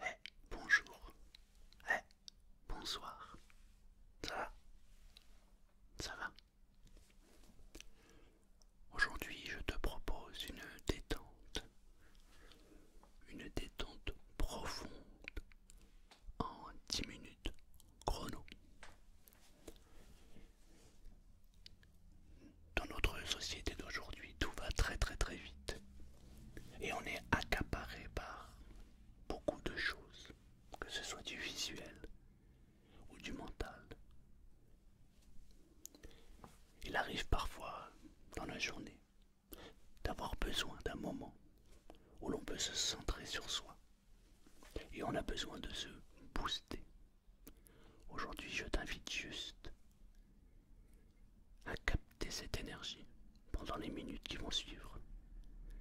Eh, bonjour. eh, bonsoir. Ça va Ça va Aujourd'hui, je te propose une détente. Une détente profonde en 10 minutes chrono. Dans notre société d'aujourd'hui, tout va très très très vite. Et on est accaparé par beaucoup de choses, que ce soit du visuel ou du mental. Il arrive parfois dans la journée d'avoir besoin d'un moment où l'on peut se centrer sur soi et on a besoin de se booster. Aujourd'hui, je t'invite juste à capter cette énergie pendant les minutes qui vont suivre.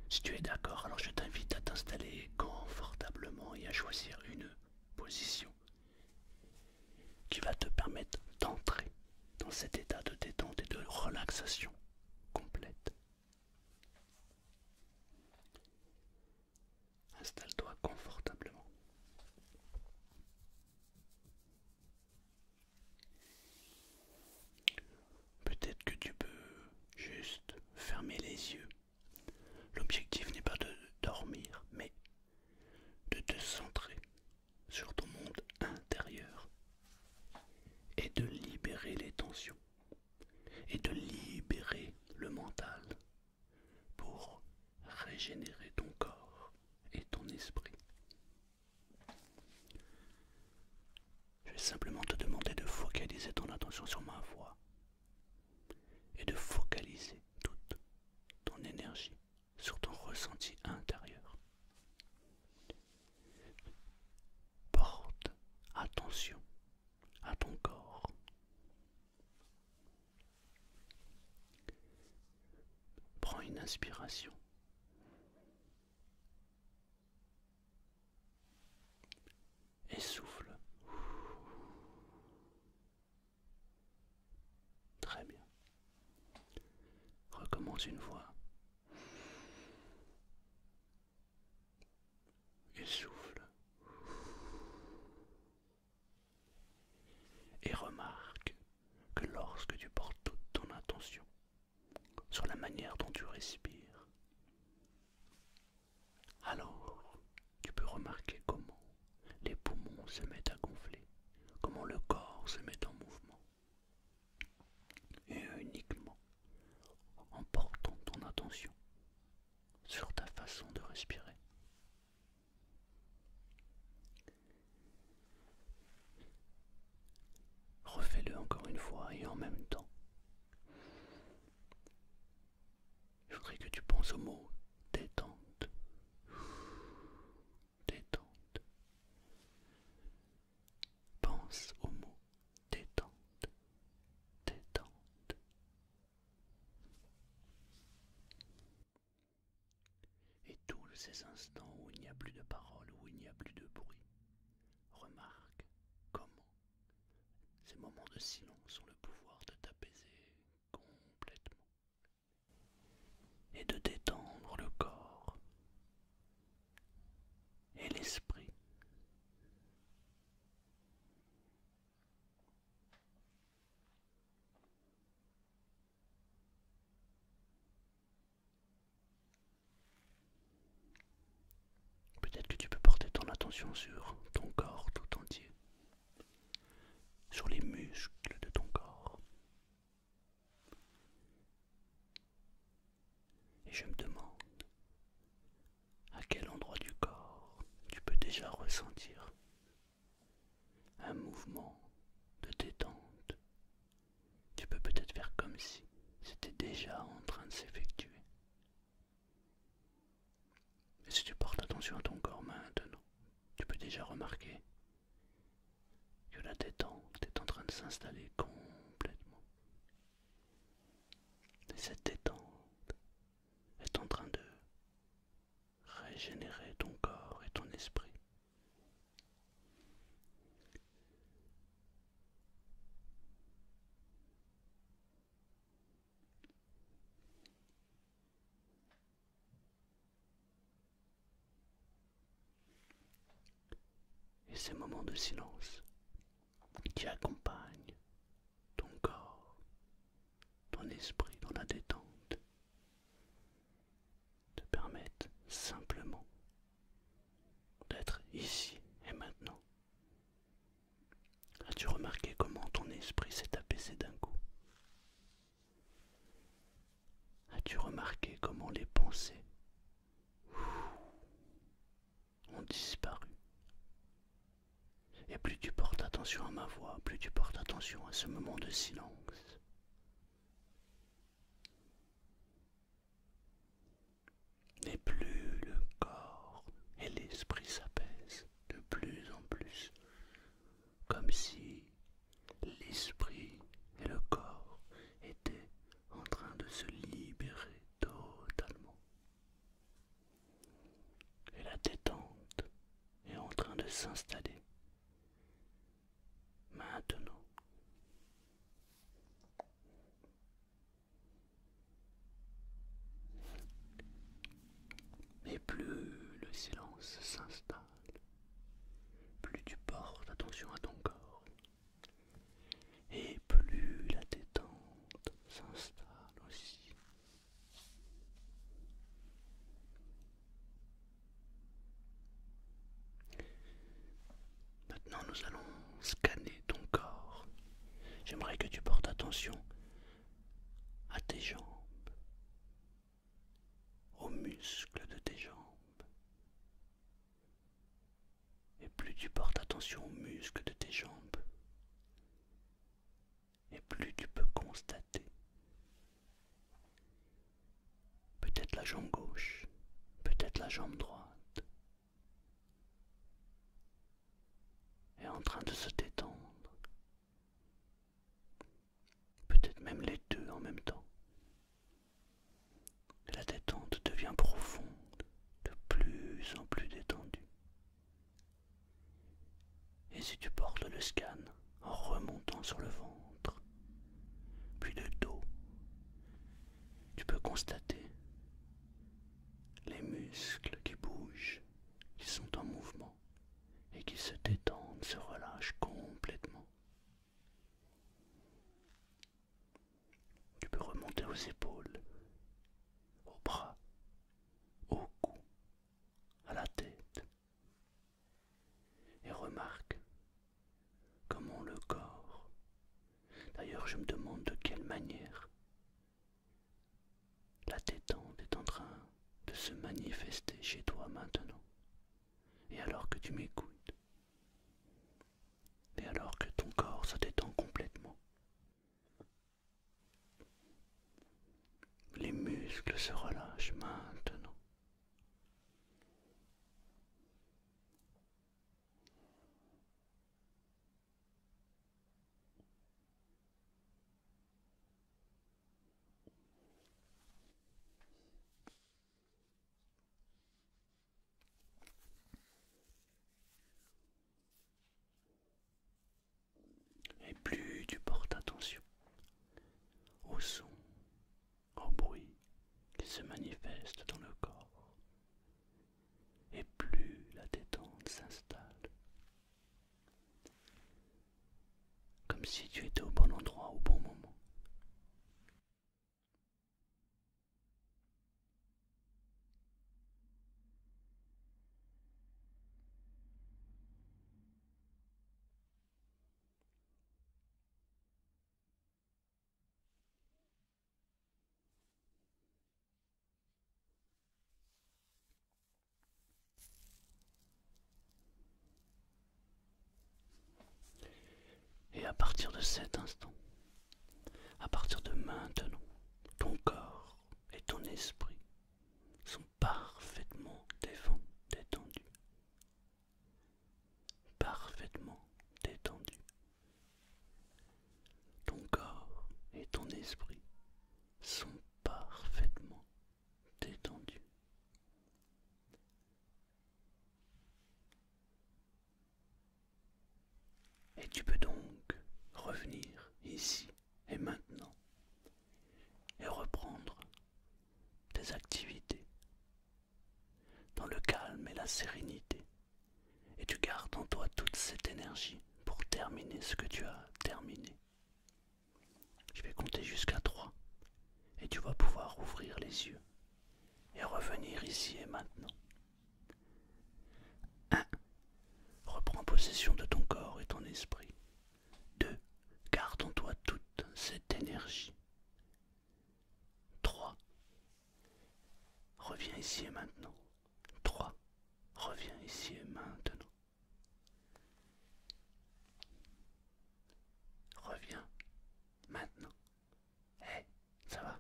Si tu es d'accord, alors je t'invite à t'installer confortablement et à choisir une position qui va te permettre d'entrer dans cet état de détente et de relaxation complète. Installe-toi confortablement. Peut-être que tu peux juste fermer les yeux. L'objectif n'est pas de dormir, mais de te centrer sur ton monde intérieur et de libérer les tensions et de libérer le mental pour régénérer ton corps et ton esprit. Je vais simplement te demander de focaliser ton attention sur ma voix et de focaliser toute ton énergie sur ton ressenti intérieur. Porte attention à ton corps. Prends une inspiration. Et souffle. Très bien. Recommence une fois et souffle. Et remarque que lorsque tu portes toute ton attention sur la manière dont tu respires, alors tu peux remarquer comment les poumons se mettent à gonfler, comment le corps se met en mouvement. Et uniquement en portant ton attention sur ta façon de respirer. Refais-le encore une fois et en même temps. Je voudrais que tu penses au mot détente. Détente. Pense au mot détente, détente. Et tous ces instants où il n'y a plus de parole, où il n'y a plus de bruit, remarque comment ces moments de silence ont le pouvoir de t'apaiser complètement et de détendre le corps et l'esprit. Peut-être que tu peux porter ton attention sur ton corps tout entier, sur les muscles de ton corps. Et je me demande à quel endroit du corps tu peux déjà ressentir un mouvement de détente. Tu peux peut-être faire comme si c'était déjà en train de s'effectuer. Et si tu portes attention à ton corps maintenant, tu peux déjà remarquer que la détente est en train de s'installer complètement. Et Cette détente est en train de régénérer ton corps et ton esprit. Et ces moments de silence qui accompagne ton corps, ton esprit dans la détente, te permettent simplement d'être ici et maintenant. As-tu remarqué comment ton esprit s'est apaisé d'un coup As-tu remarqué comment les pensées ont disparu. Et plus tu portes attention à ma voix, plus tu portes attention à ce moment de silence. Et plus le corps et l'esprit s'apaisent de plus en plus, comme si l'esprit et le corps étaient en train de se libérer totalement. Et la détente est en train de s'installer. Maintenant. Et plus le silence s'installe, plus tu portes attention à ton corps, et plus la détente s'installe aussi. Maintenant nous allons scanner ton corps. J'aimerais que tu portes attention à tes jambes, aux muscles de tes jambes, et plus tu portes attention aux muscles de tes jambes, et plus tu peux constater peut-être la jambe gauche, peut-être la jambe droite, est en train de se détendre, peut-être même les deux en même temps. la détente devient profonde de plus en plus détendu. Et si tu portes le scan en remontant sur le ventre, puis le dos, tu peux constater les muscles qui bougent, qui sont en mouvement et qui se détendent, se relâchent complètement. Tu peux remonter aux épaules, aux bras, au cou, à la tête. Et remarque comment le corps, d'ailleurs je me demande de quelle manière, la détente est en train de se manifester chez toi maintenant. Et alors que tu m'écoutes, et alors que ton corps se détend complètement, les muscles se relâchent maintenant. Et plus tu portes attention au son, au bruit qui se manifeste dans le corps, et plus la détente s'installe. Comme si tu étais au bon endroit au bon moment. Et à partir de cet instant, à partir de maintenant, ton corps et ton esprit sont parfaitement détendus. Parfaitement détendus. Ton corps et ton esprit sont parfaitement détendus. Et tu peux donc revenir ici et maintenant et reprendre tes activités dans le calme et la sérénité. Et tu gardes en toi toute cette énergie pour terminer ce que tu as terminé. Je vais compter jusqu'à 3 et tu vas pouvoir ouvrir les yeux et revenir ici et maintenant. 1. Reprends possession de ton corps et ton esprit. 2. Garde en toi toute cette énergie. 3. Reviens ici et maintenant. 3. Reviens ici et maintenant. Reviens maintenant. Hé. Ça va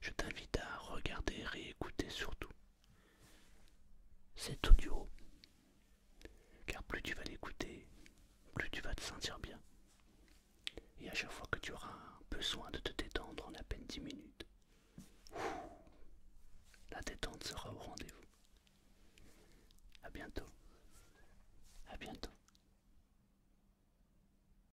Je t'invite à regarder, réécouter surtout cet audio. Car plus tu vas l'écouter, plus tu vas te sentir bien. Et à chaque fois que tu auras besoin de te détendre en à peine 10 minutes, la détente sera au rendez-vous. À bientôt. À bientôt.